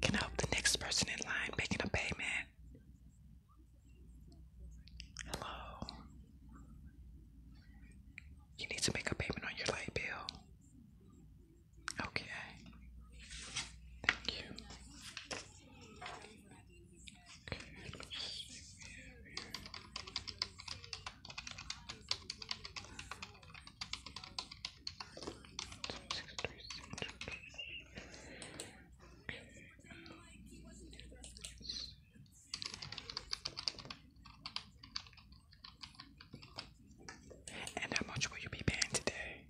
Can I help the next person in line making a payment? Hello. You need to make a payment on your light bill. Okay. Thank you. And how much will you be paying today?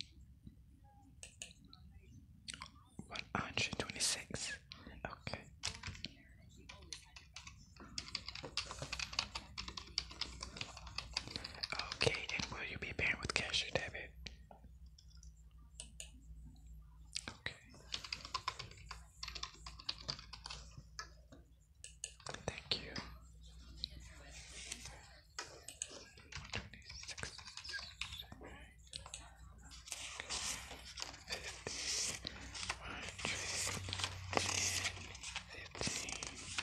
One hundred twenty six. Okay. Okay, and will you be paying with cash or debit? Okay. Thank you. 126.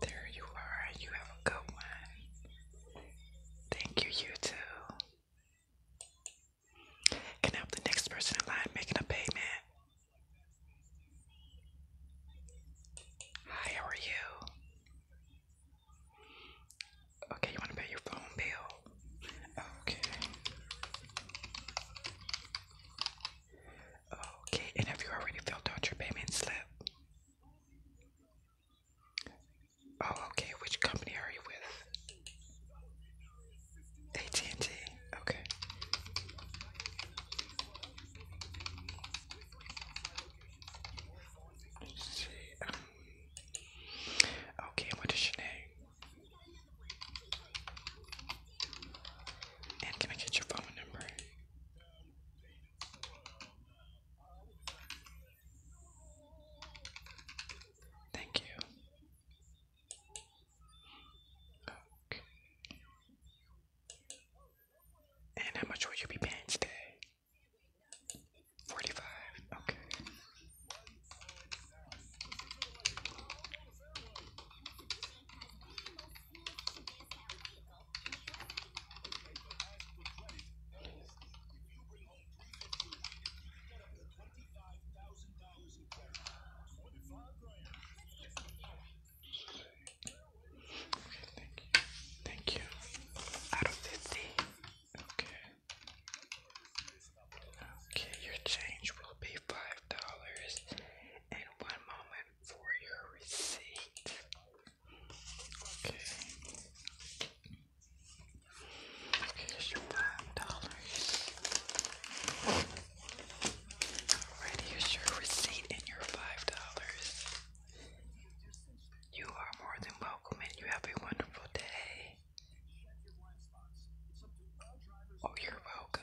There you are. You have a good one. Thank you, you too. Can I help the next person in line making a payment? Hi, how are you? Okay, you want to pay your phone bill? Okay. Okay, and have you already filled out your payment slip? Oh, okay. Which company are you with? AT&T. Okay. Okay, what is your name? And can I get your phone number? Thank you. Okay. And how much will you be paying today? 45, okay thank you. Thank you. Out of 50. Okay. Okay, your change will be five dollars and one moment for your receipt. Okay. Here's your five dollars. Alright, here's your receipt and your five dollars. You are more than welcome and you have a wonderful day. Oh, you're welcome.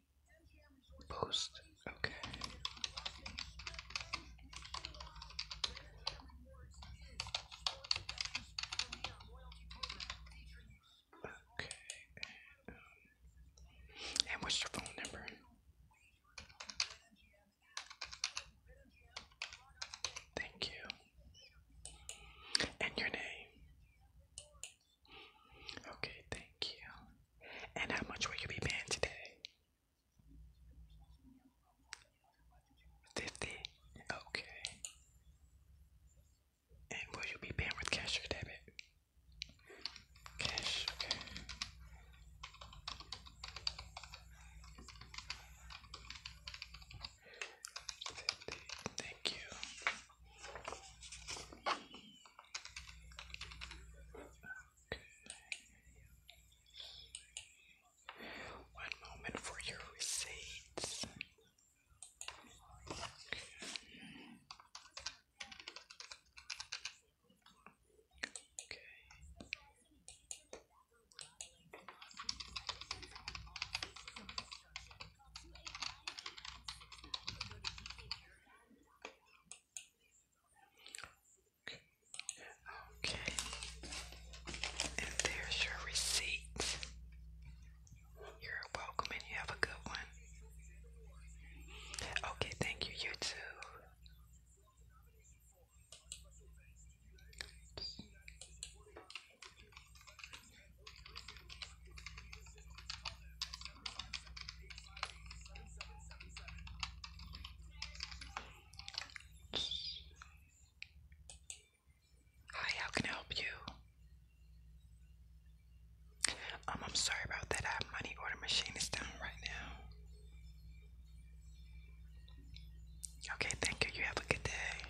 Post. Okay. Okay. and what's your phone number? Thank you. And your name? Okay, thank you. And how much will you be paying today? Fifty? Okay. And will you be paying with cash or debit? Cash, Fifty. Thank you. One moment for your receipts. Okay, and there's your receipt. You're welcome, and you have a good one. Okay, thank you, you too. Hi, how can I help you? Um, I'm sorry about that. Our money order machine is down right now. Okay, thank you. You have a good day.